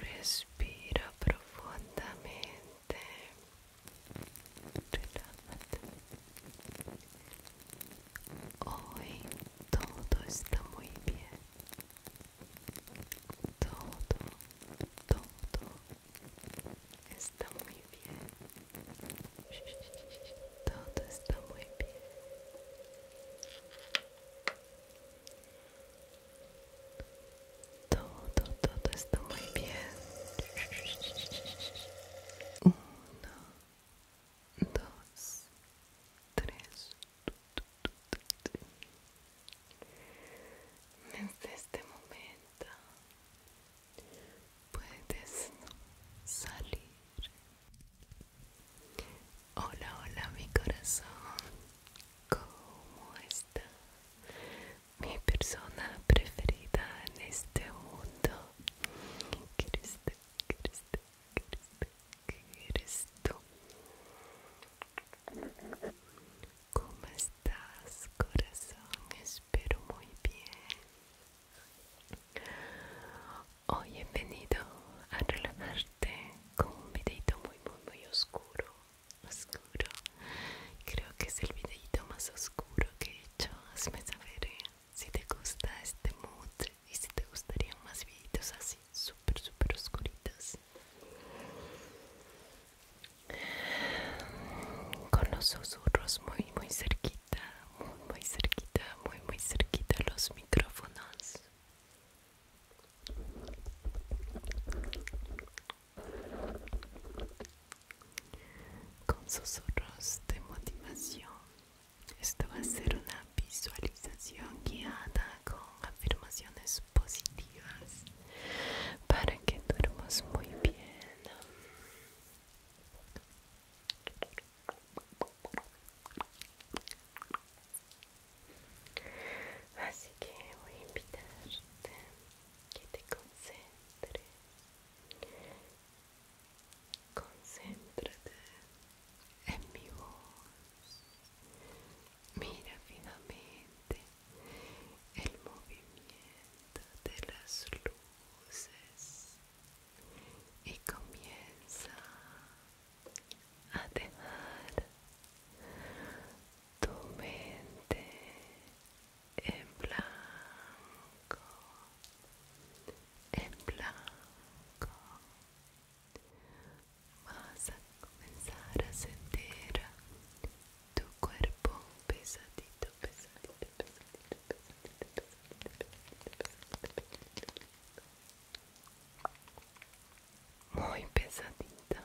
Respira profundamente. Hoy todo está muy bien. Todo, todo está muy bien. Todo está muy bien. Todo, todo está muy bien. Uno, dos, tres. Desde este momento puedes salir. Hola, hola mi corazón. ¿Cómo está? Mi persona preferida en este mundo. ¿Qué eres tú? ¿Qué eres ¿Qué eres ¿Cómo estás, corazón? Espero muy bien. Hoy he venido a relajarte con un videito muy muy muy oscuro, oscuro. Creo que es el videito más oscuro que he hecho. Hazme saber eh, si te gusta este mood y si te gustarían más videitos así, súper súper oscuritos. Con los susurros muy muy cerquita muy cerquita, muy muy cerquita los micrófonos. Con susurros de motivación, esto va a ser una visualización guiada con afirmaciones positivas para que duermas muy bien. Así que voy a invitarte que te concentres. Concéntrate en mi voz. Mira finalmente el movimiento de las luces y comienza a dejar tu mente en blanco, en blanco. Vas a comenzar a sentir tu cuerpo pesadito, pesadito, pesadito, pesadito. Muy pesadito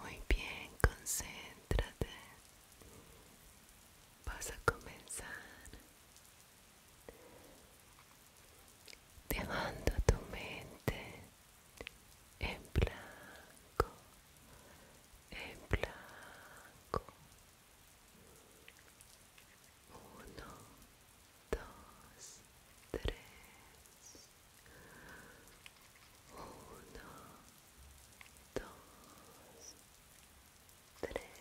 Muy bien, concéntrate. Vas a comenzar dejando tu mente en blanco. En blanco, Uno, dos, tres. Uno, dos, tres.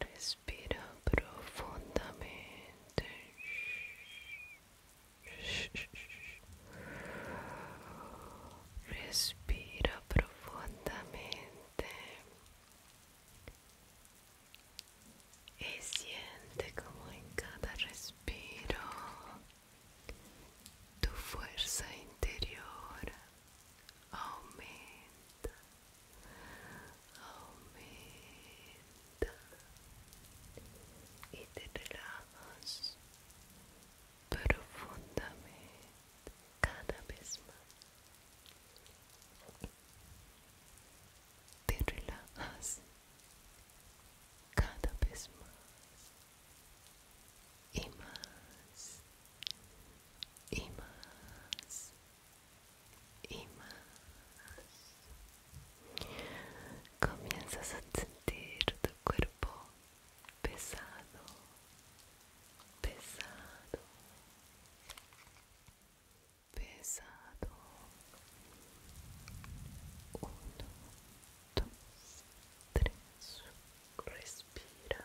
Respira profundamente. Respira profundamente y siente como en cada respiro tu fuerza interior aumenta, aumenta y te relajas profundamente cada vez más te relajas cada vez más y más y más y más comienzas a sentir tu cuerpo pesado, pesado, pesado. Uno, dos, tres. Respira.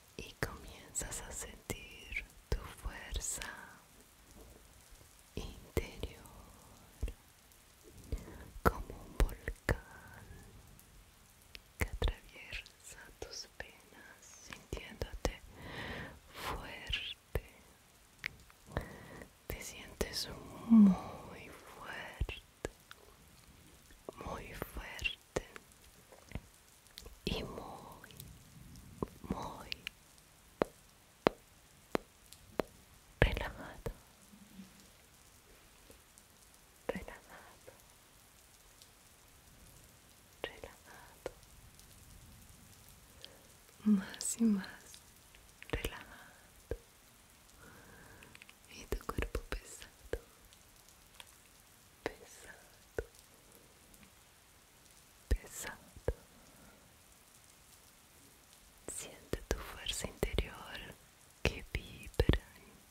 y comienzas a sentir tu fuerza interior como un volcán que atraviesa tus penas sintiéndote fuerte te sientes muy fuerte muy fuerte y muy, muy relajado, relajado, relajado, más y más relajado y tu cuerpo pesado pesado pesado. Siente tu fuerza interior que vibra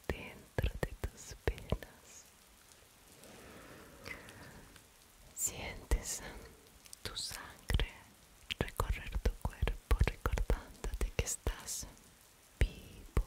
dentro de tus venas. Sientes tu sangre recorrer tu cuerpo recordándote que estás vivo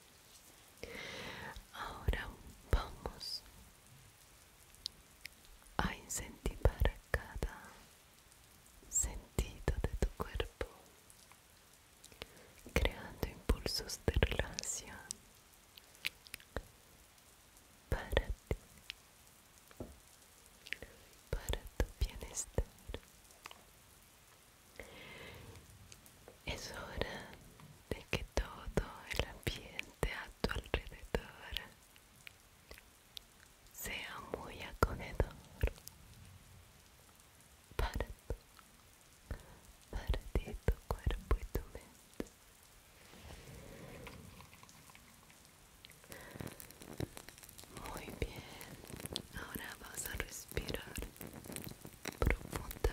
Ahora vamos a incentivar cada sentido de tu cuerpo, creando impulsos de relación para ti, para tu bienestar. Es hora de que todo el ambiente a tu alrededor sea muy acogedor Parte. Parte tu cuerpo y tu mente. Muy bien, ahora vas a respirar profundamente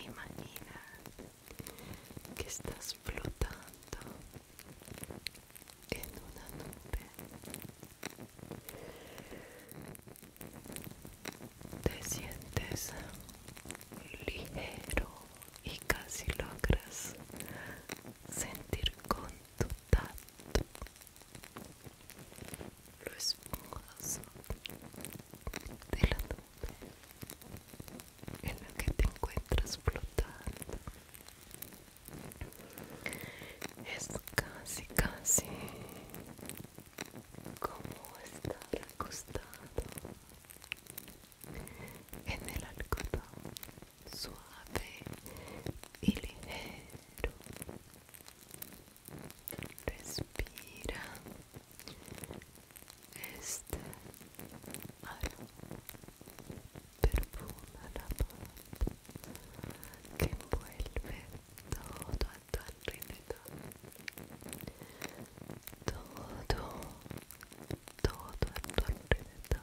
Imagina que estás flotando en una nube. Te sientes ligero y casi logras sentir con tu tacto lo esponjoso de la nube en la que te encuentras flotando es casi casi como estar acostado en el algodón suave y ligero respira este aroma perfuma la paz que envuelve todo a tu alrededor todo todo a tu alrededor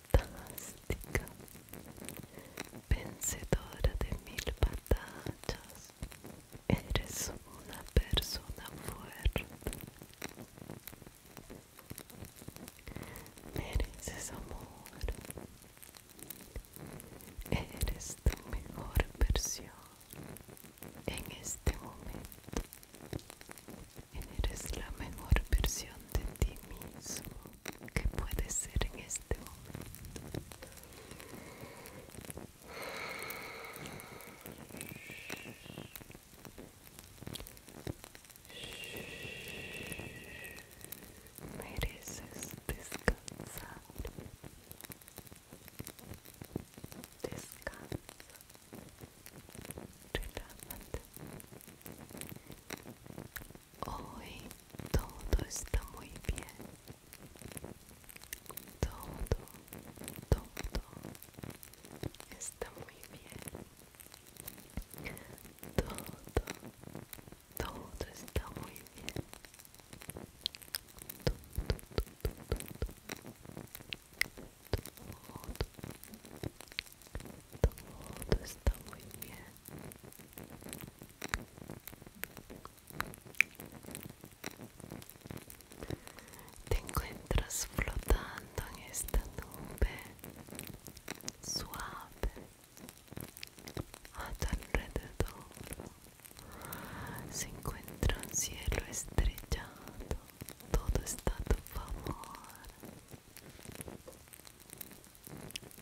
fantástica, vencedora de mil batallas. Eres una persona fuerte. Mereces amor. Eres tu mejor versión en este momento. Eres la mejor versión de ti mismo que puedes ser en este momento. Mereces descansar. Descansa. Hoy todo está muy bien. Todo, todo está muy bien. Todo, todo está muy bien todo, está muy bien te encuentras flotando en esta nube suave a tu alrededor se encuentra un cielo estrellado todo está a tu favor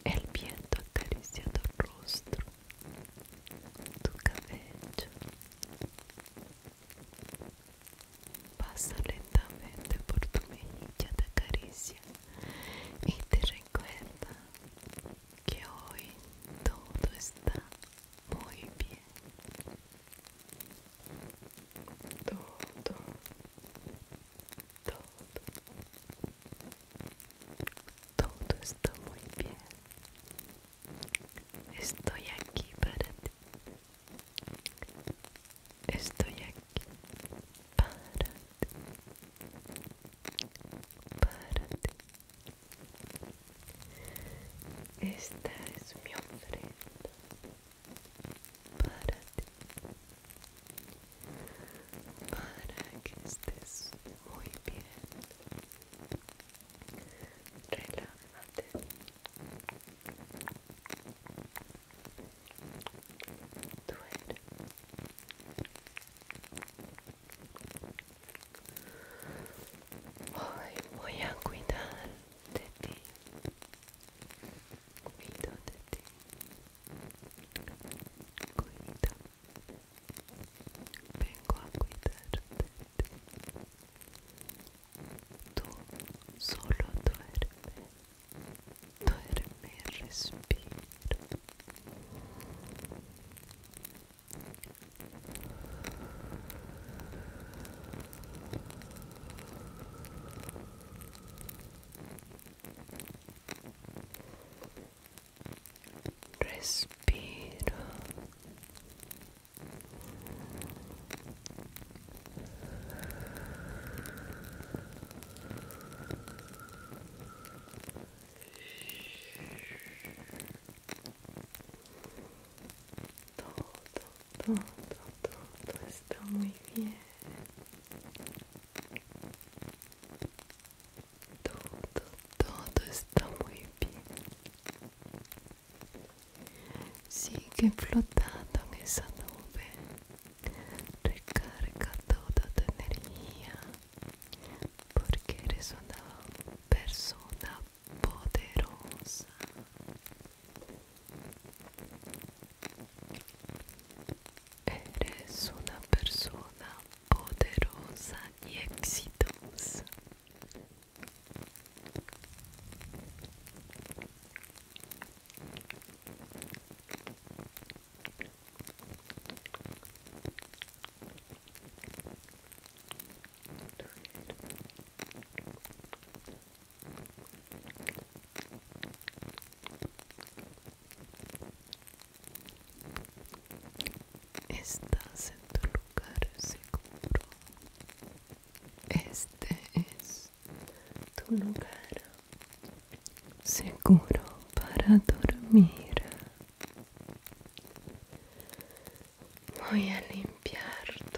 el viento acaricia tu rostro, tu cabello. Pasa lentamente por tu mejilla, de acaricia y te recuerda que hoy todo está muy bien todo, todo, todo está muy bien. Estoy aquí para ti. Estoy aquí para ti. Para ti. Esta es mi ofrenda para que estés muy bien relájate Hoy voy a cuidar de ti cuida de ti. Cuida. Vengo a cuidarte. Tú solo duerme. Duerme y respira. Respiro. Todo todo, todo está muy bien. Todo, todo está muy bien. Sigue flotando en esa nube. Recarga toda tu energía porque eres una persona poderosa Eres una persona poderosa y exitosa. Estás en tu lugar seguro. Este es tu lugar seguro para dormir. Voy a limpiar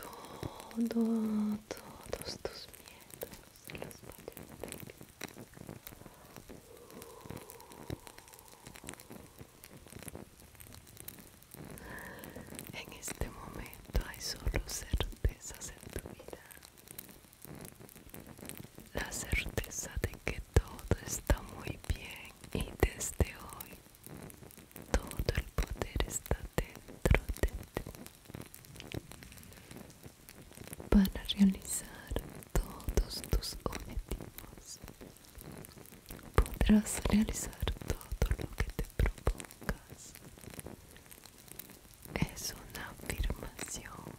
todos tus miedos, los vida En este momento hay solo certezas en tu vida. La certeza de que todo está muy bien y desde hoy todo el poder está dentro de ti para realizar todos tus objetivos. Podrás realizar todo lo que te propongas. Es una afirmación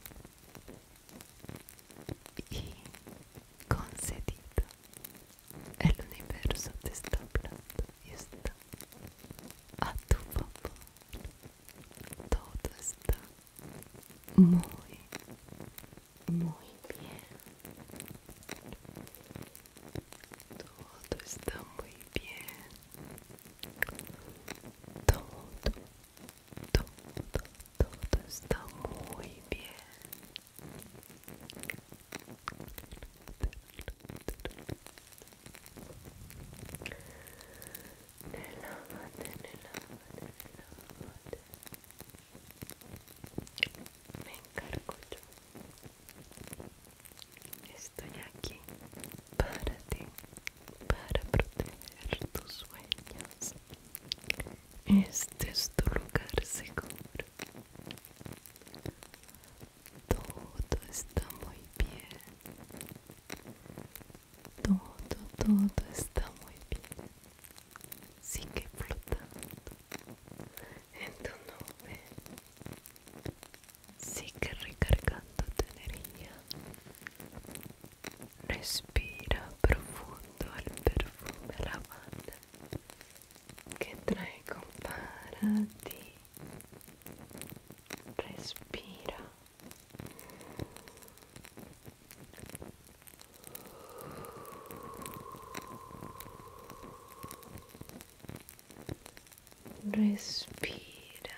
y concedida. El universo te está hablando y está a tu papá, Todo está muy, muy bien. Todo está muy bien. Todo, todo, todo está muy bien. Relájate, relájate, relájate. Me encargo yo. Estoy aquí para ti, para proteger tus sueños. Este es tu lugar seguro todo está muy bien. Todo, todo está muy bien. Sigue flotando en tu nube. Sigue recargando tu energía. Respira profundo al perfume lavanda que traigo para ti respira respira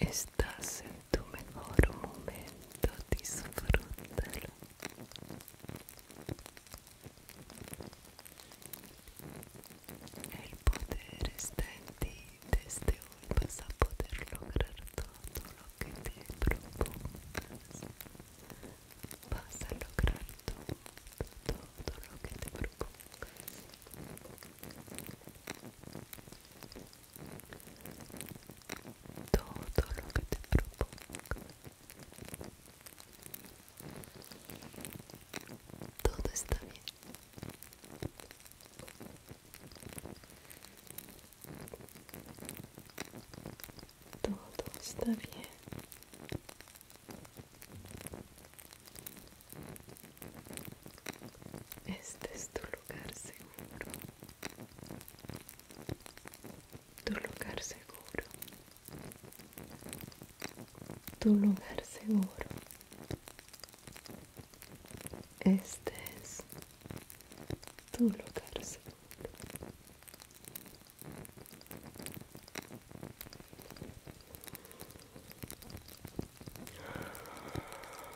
Estás en tu mejor momento, disfrútalo. El poder está en ti, desde hoy vas a poder lograr todo lo que te propongas. Vas a lograr todo, todo lo que te propongas todo lo que te propongo todo está bien todo está bien este es tu lugar seguro. Tu lugar seguro. Tu lugar seguro. Este es tu lugar seguro.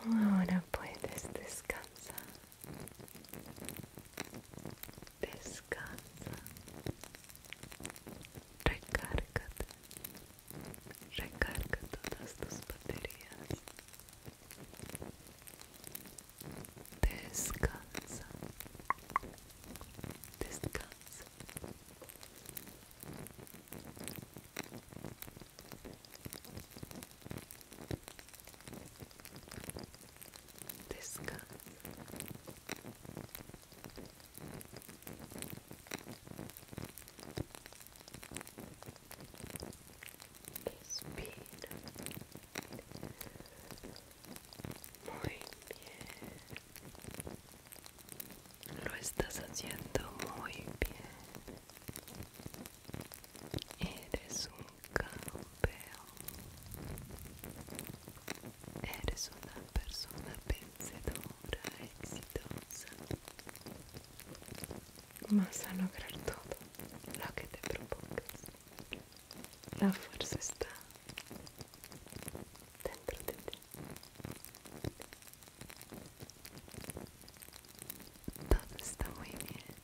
Ahora puedes descansar. Descansa. Recárgate. Recarga todas tus baterías. Descansa. Descansa. This gun. Is being muy bien Lo estás haciendo muy bien. Eres un campeón. Eres una persona vencedora, exitosa. Vas a lograr todo lo que te propongas. La fuerza está dentro de ti. Todo está muy bien.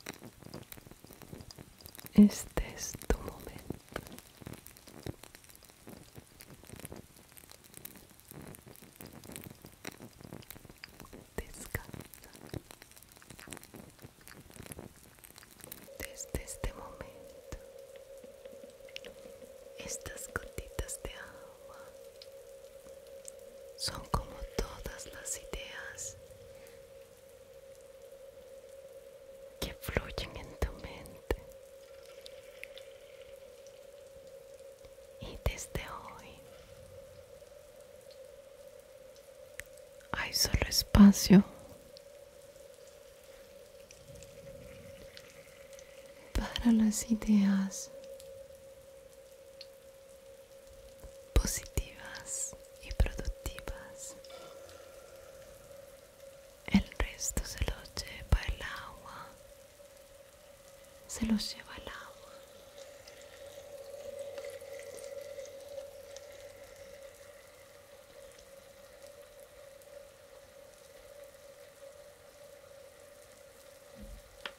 Este es tu momento. Descansa. Desde este momento, estas gotitas de agua son como todas las ideas que fluyen en tu mente. Y desde hoy hay solo espacio para las ideas positivas y productivas. El resto se lo lleva el agua. Se lo lleva el agua.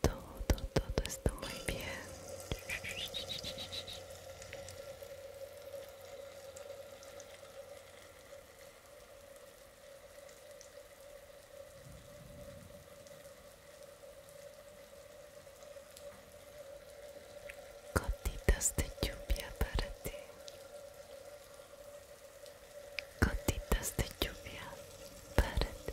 Todo, todo está muy bien. Gotitas de lluvia para ti. Gotitas de lluvia para ti.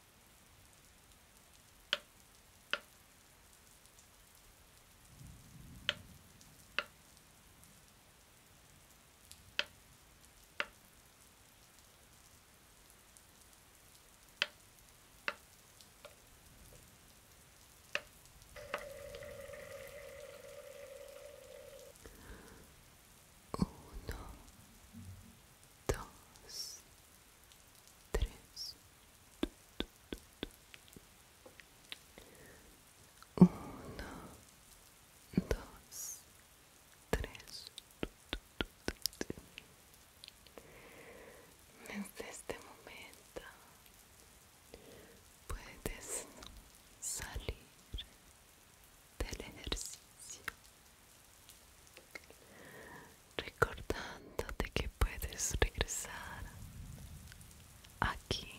Uno, dos, tres, uno, dos, tres. Desde este momento puedes salir del ejercicio recordándote que puedes regresar aquí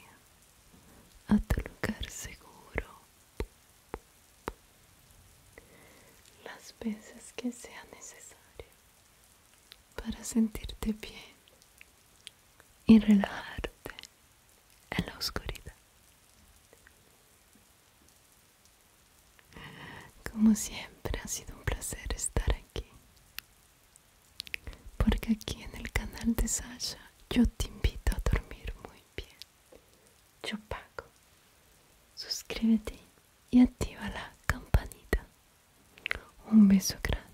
a tu lugar seguro las veces que sea necesario para sentirte bien y relajarte en la oscuridad como siempre ha sido un placer estar aquí. Porque aquí en el canal de Sasha yo te invito a dormir muy bien. Yo pago. Suscríbete y activa la campanita. Un beso grande.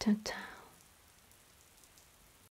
Chao, chao.